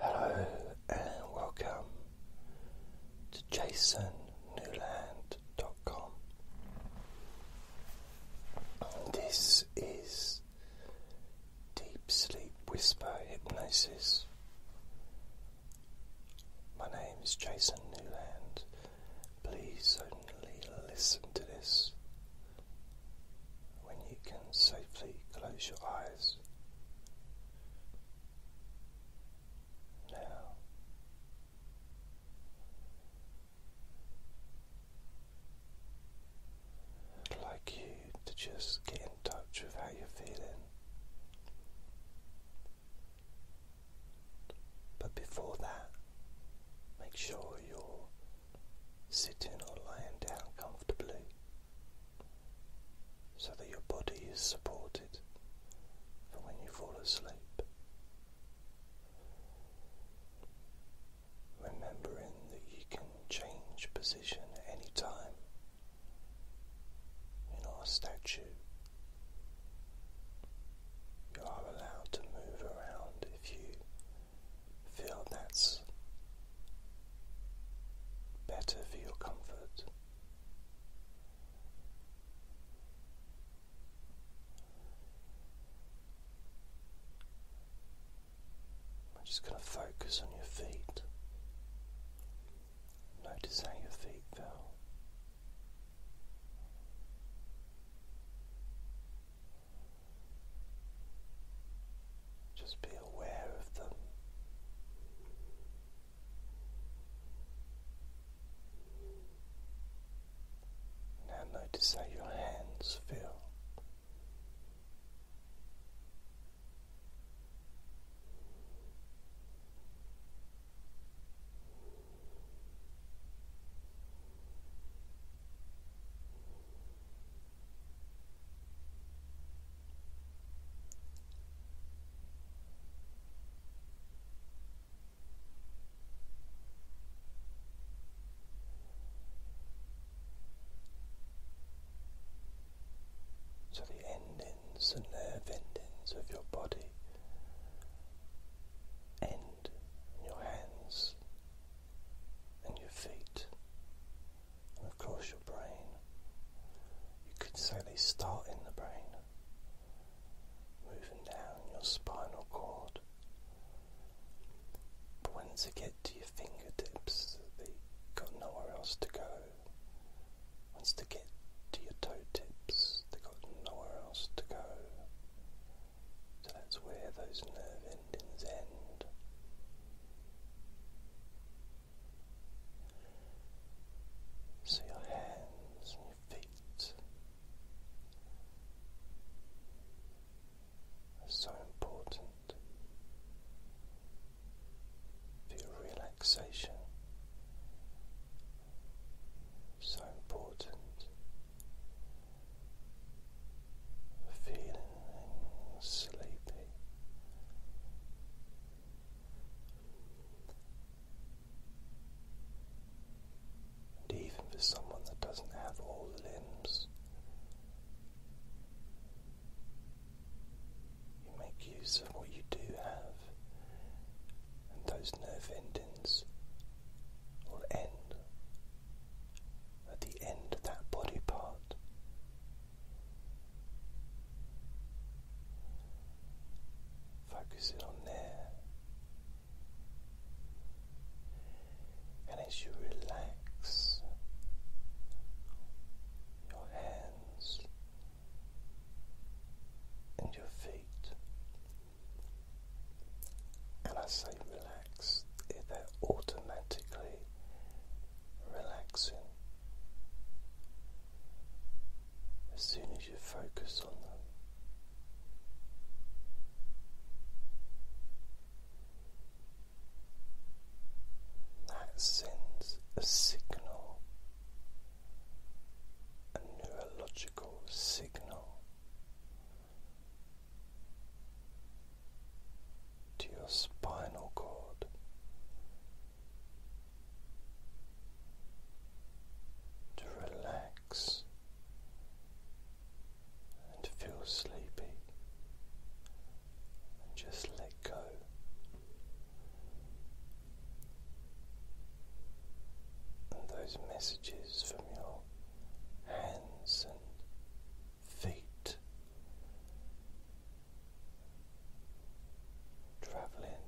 Hello and welcome to jasonnewland.com. This is Deep Sleep Whisper Hypnosis. My name is Jason Newland. Please only listen to this when you can safely close your eyes. Now, I'd like you to just get in touch with how you're feeling. But before that, make sure you're sitting or lying down comfortably so that your body is supported for when you fall asleep. Remembering that you can change position at any time. You're statue. You are allowed to move around if you feel that's better for your comfort. I'm just going to focus on your feet. Notice how your feet feel. Just be aware of them. Now notice how your hands feel to the endings and nerve endings of your body and your hands and your feet and of course your brain. You could say they start in the brain, moving down your spinal cord. But once they get to your fingertips, they've got nowhere else to go. Once they get to your toe tips, they've got nowhere else to go. So that's where those nerve endings end. So your hands and your feet are so important for relaxation, so important for feeling sleepy. And even for someone that doesn't have all the limbs, you make use of what you do have, and those nerve endings will end at the end of that body part Focus it on there, and as you relax your hands and your feet, and I say relax, that automatically relaxing as soon as you focus on them. That sends a signal, a neurological signal to your spinal cord. To relax and feel sleepy, and just let go. And those messages from your hands and feet, traveling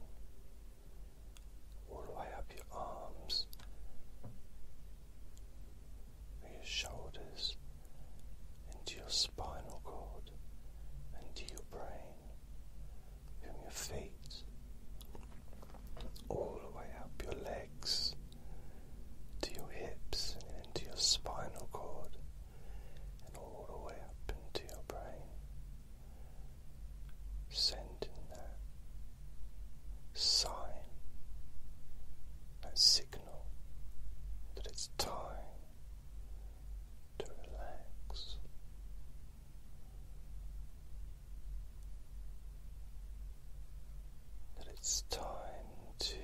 all the way up your arms, your shoulders, into your spinal cord, into your brain, from your feet, all the way up your legs. To your hips into your spinal cord, and all the way up into your brain, sending that sign, and signal that it's time to relax. That it's time to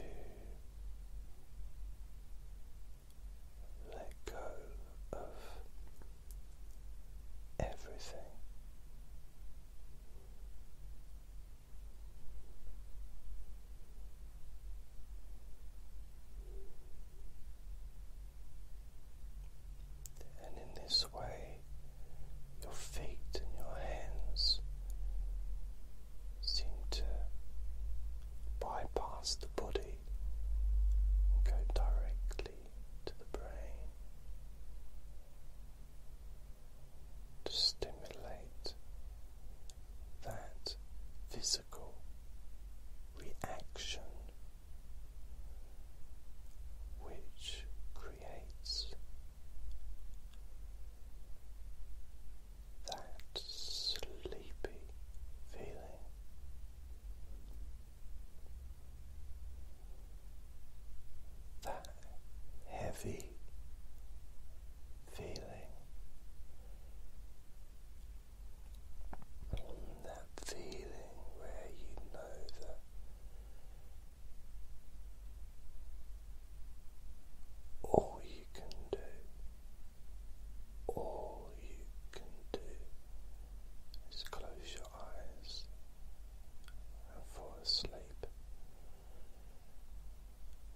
let go of everything. And in this way, your feet and your hands seem to bypass the body and go directly to the brain to stimulate that physical reaction which creates that sleepy feeling. That heavy feeling, that feeling where you know that all you can do all you can do is close your eyes and fall asleep.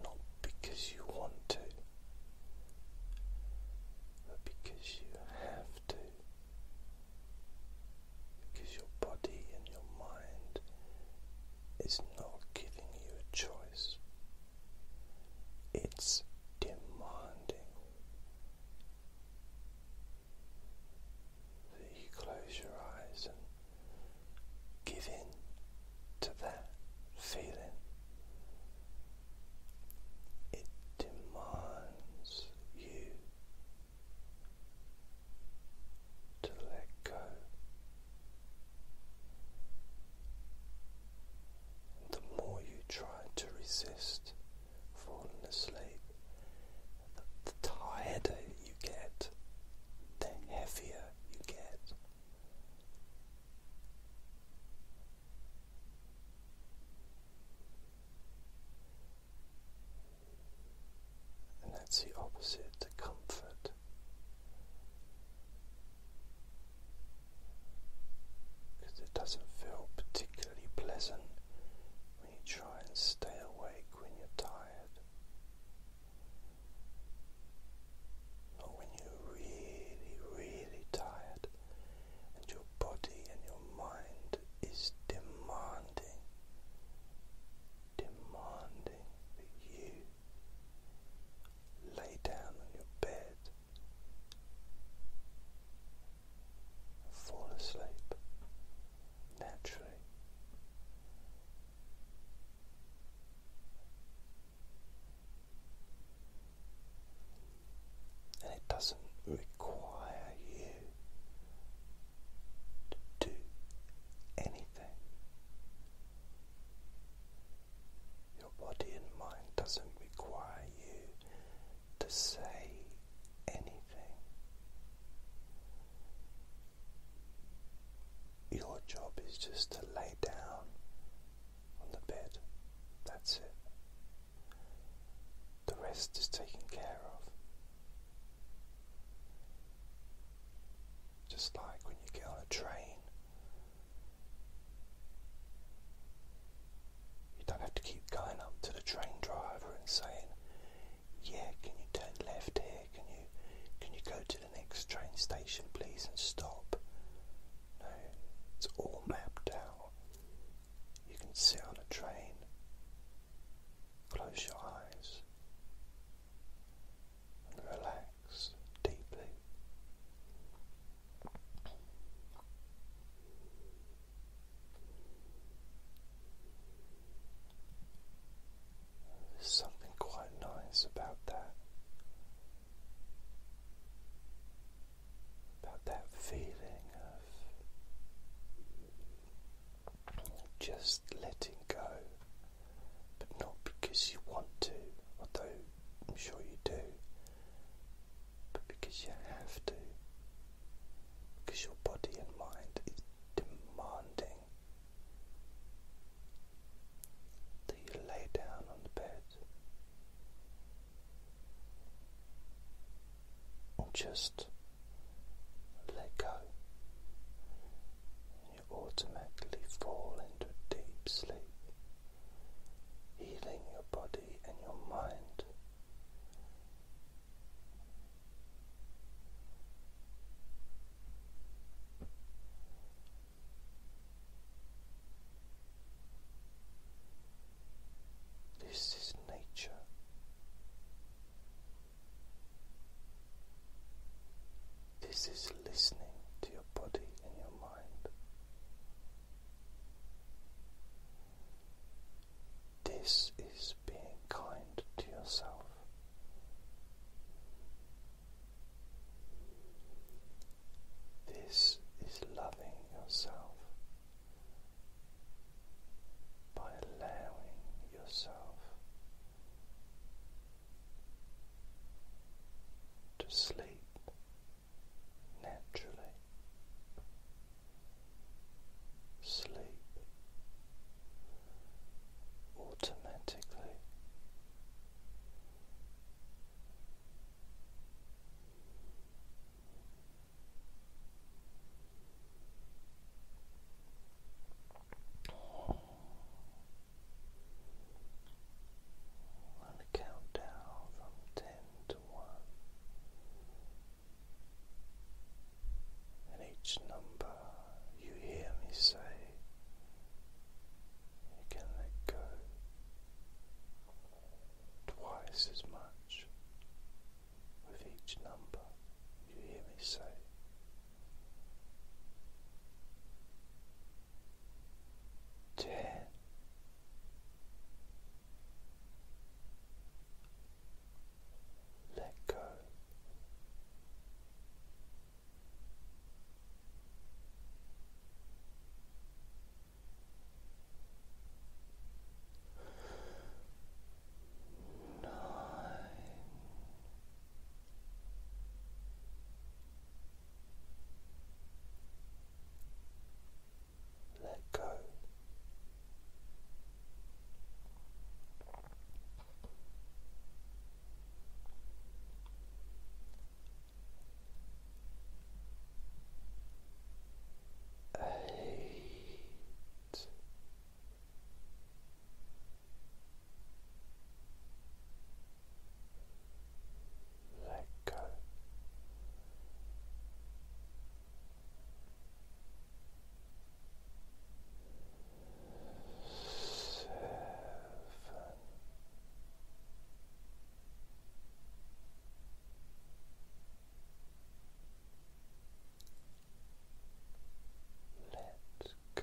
Not because you want to, but because you have to. Because your body and your mind is not giving you a choice it's demanding that you close your eyes and give in to that feeling. It demands you to let go the more you try to resist falling asleep, the, the tireder you get, the heavier you get. And that's the opposite to comfort because it doesn't feel particularly pleasant when you try and stay awake when you're tired. Not when you're really, really tired and your body and your mind is demanding, demanding you lay down on your bed and fall asleep naturally. And it doesn't require you to do anything your body and mind doesn't require you to say anything. Your job is just to lay down on the bed. That's it. The rest is taken care of. Just like when you get on a train you don't have to keep going up to the train driver and saying, "Yeah, can you turn left here? Can you can you go to the next train station, please, and stop?" No, it's all mapped out. You can sit on a train, close your eyes, relax deeply. There's something quite nice about that, about that feeling of just letting go but not because you want to, although I'm sure you do, but because you have to, because your body and mind is demanding that you lay down on the bed and just let go automatically fall into deep sleep, healing your body and your mind. This is nature. This is listening to your body and your mind. This is being kind to yourself. This is loving yourself by allowing yourself to sleep naturally. Sleep automatically. I'm going to count down from ten to one, and each number you hear me say, you can let go twice as much with each number you hear me say ten let go nine let go. Eight let go. Seven. Let go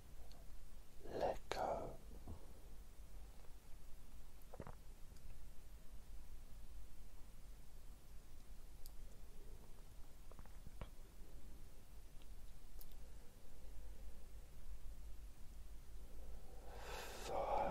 let go. Five.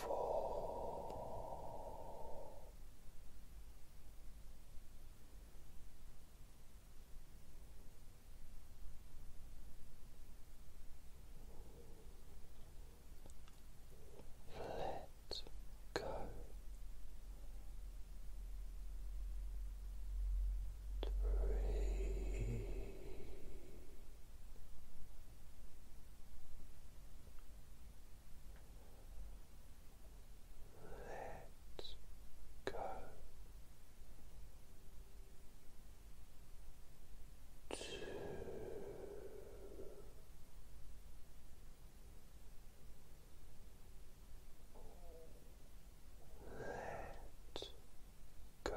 four, let go three. Let go. Two. Let go.